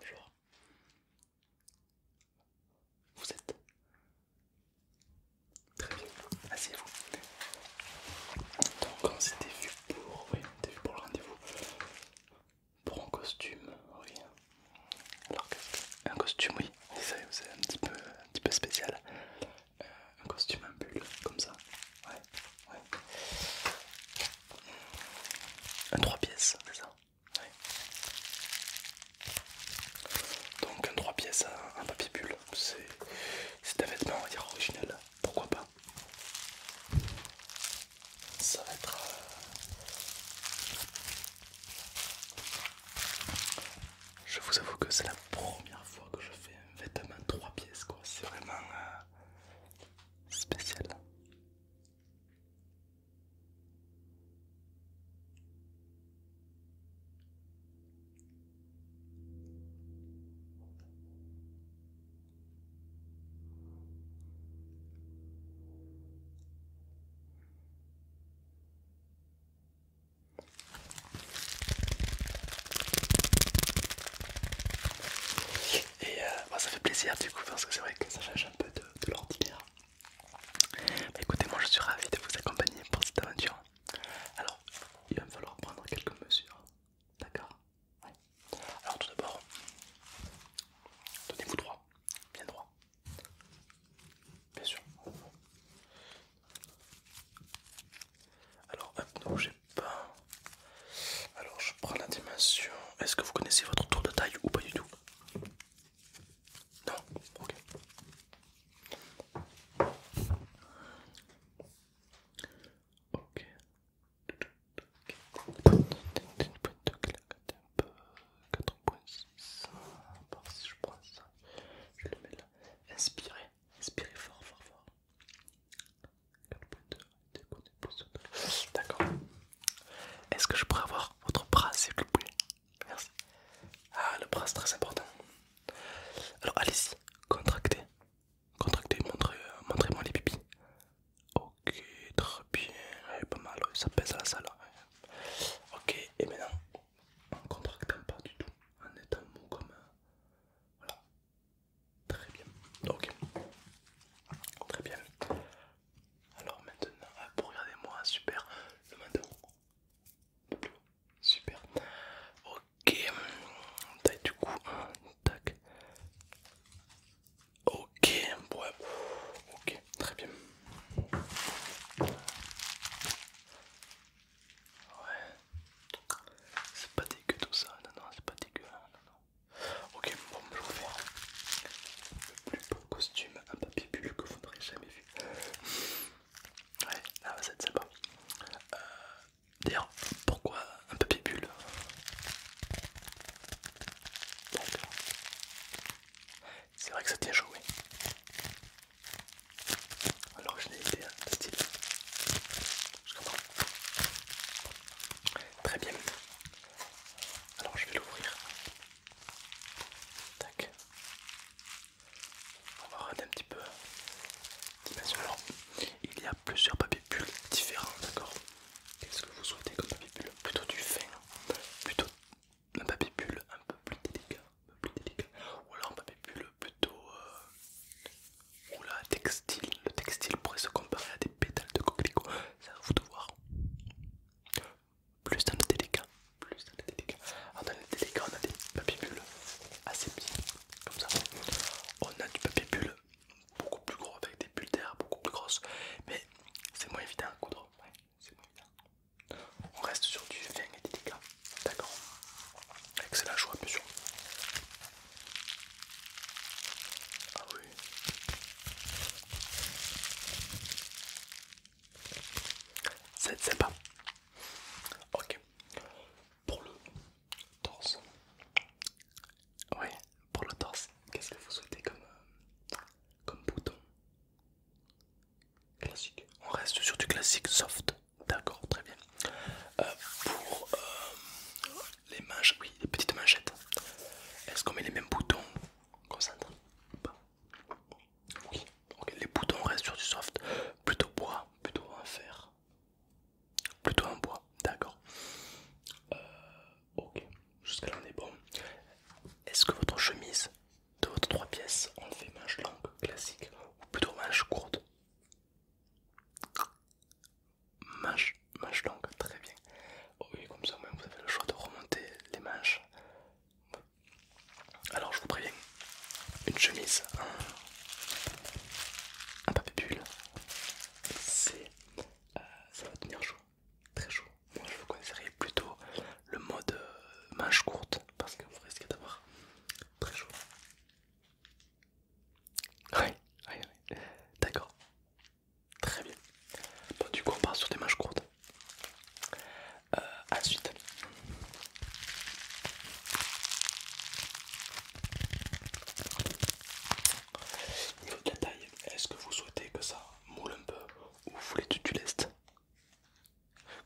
Bonjour. Vous êtes Très bien, asseyez-vous. Donc on s'était vu pour, oui, on vu pour le rendez-vous. Pour un costume, oui. Alors un costume, oui, c'est un petit peu, un petit peu spécial. Euh, un costume en bulle, comme ça. Ouais, ouais. Un trois pièces, c'est ça Ouais. Donc un 3 pièces à un papier bulle, c'est un vêtement on va dire original, pourquoi pas Ça va être... Euh, je vous avoue que c'est la première fois que je fais un vêtement trois pièces quoi, c'est vraiment euh, spécial. Et euh, bah, ça fait plaisir du coup parce que c'est vrai que ça change un peu de, l'ordinaire. Bah, écoutez, moi je suis ravi de vous accompagner pour cette aventure. Alors, il va me falloir prendre quelques mesures. D'accord Alors tout d'abord, tenez-vous droit, bien droit. Bien sûr. Alors, un j'ai pas. Alors, je prends la dimension. Est-ce que vous connaissez votre tour de taille ou pas du tout Non Ok. Ok. 4.6 je prends ça je le mets là inspirez inspirez fort fort fort 4.2 d'accord est-ce que je pourrais avoir votre bras s'il vous plaît merci ah le bras c'est très important alors allez-y contractez contractez montrez montrez moi les pipis Ok, très bien, pas mal, ça pèse à la salle. Hein. Ok, et maintenant, en contractant pas du tout, en étant mou comme. Voilà, très bien, ok, très bien. Alors maintenant, ah, regardez moi, super, le matin super, ok, hum, taille du coup, Tac. Ok, Ok, très bien. Ouais. C'est pas dégueu tout ça. Non, non, c'est pas dégueu. Hein, non, non. Ok, bon, je faire le plus beau costume à papier bulle que vous n'aurez jamais vu. Ouais, Là, ah, ça c'est pas. Euh, D'ailleurs, pourquoi un peu bibule C'est vrai que ça tient chaud, oui. Alors je l'ai été style. Très bien. Alors je vais l'ouvrir. Tac. On va regarder un petit peu. il y a plusieurs papiers bulles différents, d'accord Qu'est-ce que vous souhaitez comme papier bulle Plutôt du fin, plutôt un papier bulle un peu plus délicat, plus délicat. ou alors un papier bulle plutôt. ou euh, Oula, textile. Le textile pourrait se comparer à des pétales de coquelicot, ça va vous de voir. Plus dans le délicat, plus dans le délicat. Alors, ah, dans le délicat, on a des papiers assez bien. comme ça. On a du papier bulle beaucoup plus gros avec des bulles d'air beaucoup plus grosses, mais c'est moins évident à coudre. On reste sur du vin et des dégâts, d'accord Excellent choix, sûr Ah oui. C'est sympa. Ok. Pour le Torse. Ouais, pour le torse, qu'est-ce que vous souhaitez comme, euh, comme bouton Classique. On reste sur du classique soft. D'accord, très bien. Euh, pour euh, les manches, oui, les petites manchettes. Est-ce qu'on met les mêmes boutons concentre pas Oui, les boutons restent sur du soft, plutôt bois, plutôt en fer. Plutôt en bois, d'accord. Euh, ok, jusqu'à là on est bon. Est-ce que votre chemise de votre trois pièces on fait manche longue classique ou plutôt manche courte Manche, manche longue, très bien. Oui, comme ça, vous avez le choix de remonter les manches. Alors, je vous préviens, une chemise, un, papier bulle. Euh, ça va tenir chaud, très chaud. Moi je vous conseillerais plutôt le mode manches euh, manche courte parce que vous risquez d'avoir très chaud. Oui, oui, oui. d'accord, très bien. Bon, du coup, on part sur des manches courtes. Ensuite, euh, ensuite, niveau de la taille, est-ce que vous souhaitez que ça moule un peu ou vous voulez du, du lest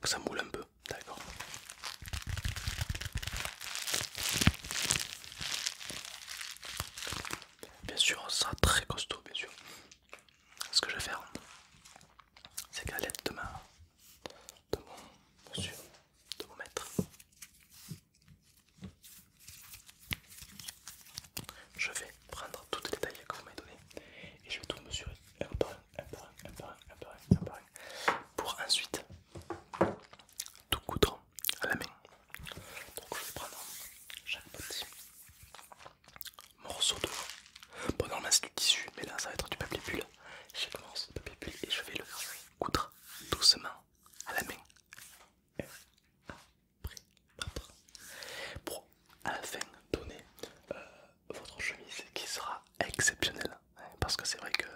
Que ça moule un peu, d'accord Bien sûr, ça sera très costaud, bien sûr. Ce que je vais faire, ces galettes de, ma, de mon monsieur, de mon maître. Je vais prendre tous les détails que vous m'avez donnés et je vais tout mesurer un par un, un par un, un par un, un par un, un par pour ensuite tout coudre à la main. Donc je vais prendre chaque petit morceau de... Bon normalement c'est du tissu, mais là ça va être du papier bulle. Je morceau de papier bulle et je vais le coudre doucement à la main. Pour à la fin donner euh, votre chemise qui sera exceptionnelle. parce que c'est vrai que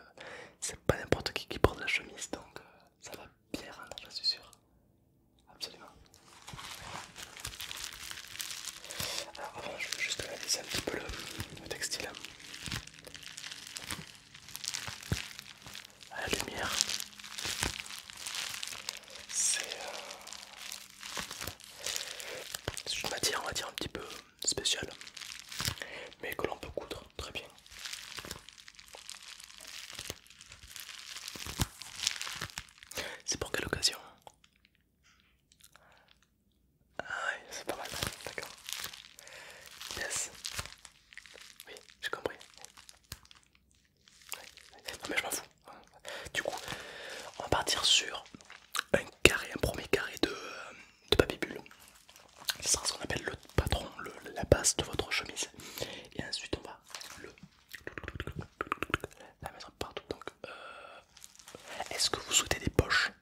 c'est pas n'importe qui qui porte la chemise donc euh, ça va bien rendre, je suis sûr. Absolument. Alors avant je veux juste analyser un petit peu le, textile à la lumière. C'est euh, une matière on va dire un petit peu spéciale mais que l'on peut coudre très bien. C'est pour quelle occasion ah oui, c'est pas mal, d'accord. Yes. Oui, j'ai compris. Non mais je m'en fous. Du coup, on va partir sur un carré, un premier carré de, euh, de papier bulle. Ce sera ce qu'on appelle le patron, la base de votre chemise. Et ensuite on va le la mettre partout. Donc, euh, est-ce que vous souhaitez des poches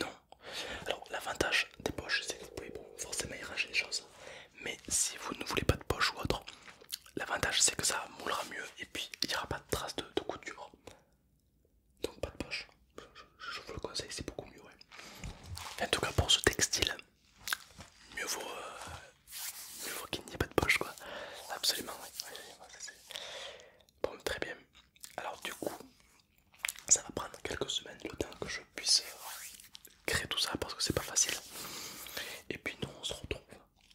Non. Alors, l'avantage des poches, c'est que vous pouvez forcément y ranger les choses. Mais si vous ne voulez pas de poche ou autre, l'avantage c'est que ça moulera mieux et puis il n'y aura pas de traces de, couture. Donc, pas de poche. Je, vous le conseille, c'est beaucoup mieux. En tout cas, pour ce textile, mieux vaut, euh, mieux vaut qu'il n'y ait pas de poche quoi. Absolument, bon, très bien. Alors du coup, ça va prendre quelques semaines le temps que je puisse euh, créer tout ça parce que c'est pas facile. Et puis nous on se retrouve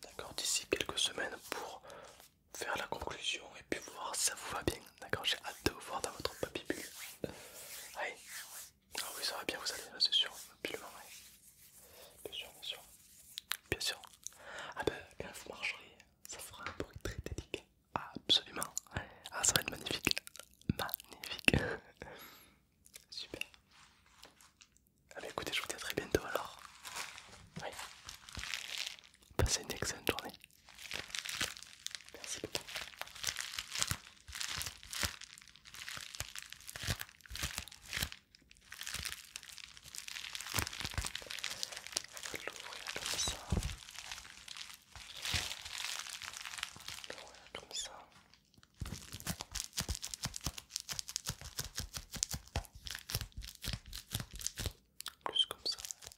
d'accord d'ici quelques semaines pour faire la conclusion et puis voir si ça vous va bien. D'accord, j'ai hâte de vous voir dans votre papy ah oui, ça va bien, vous allez, c'est sûr, absolument, oui. Bien sûr, bien sûr. Bien sûr. Ah ben, quand vous ça fera un bruit très délicat. absolument. Ah, ça va être magnifique. Magnifique. Super. Ah ben, écoutez, je vous dis à très bientôt alors. Oui. Passez une excellente journée. Merci beaucoup je vais l'ouvrir comme ça. L'ouvrir comme ça. Plus comme ça.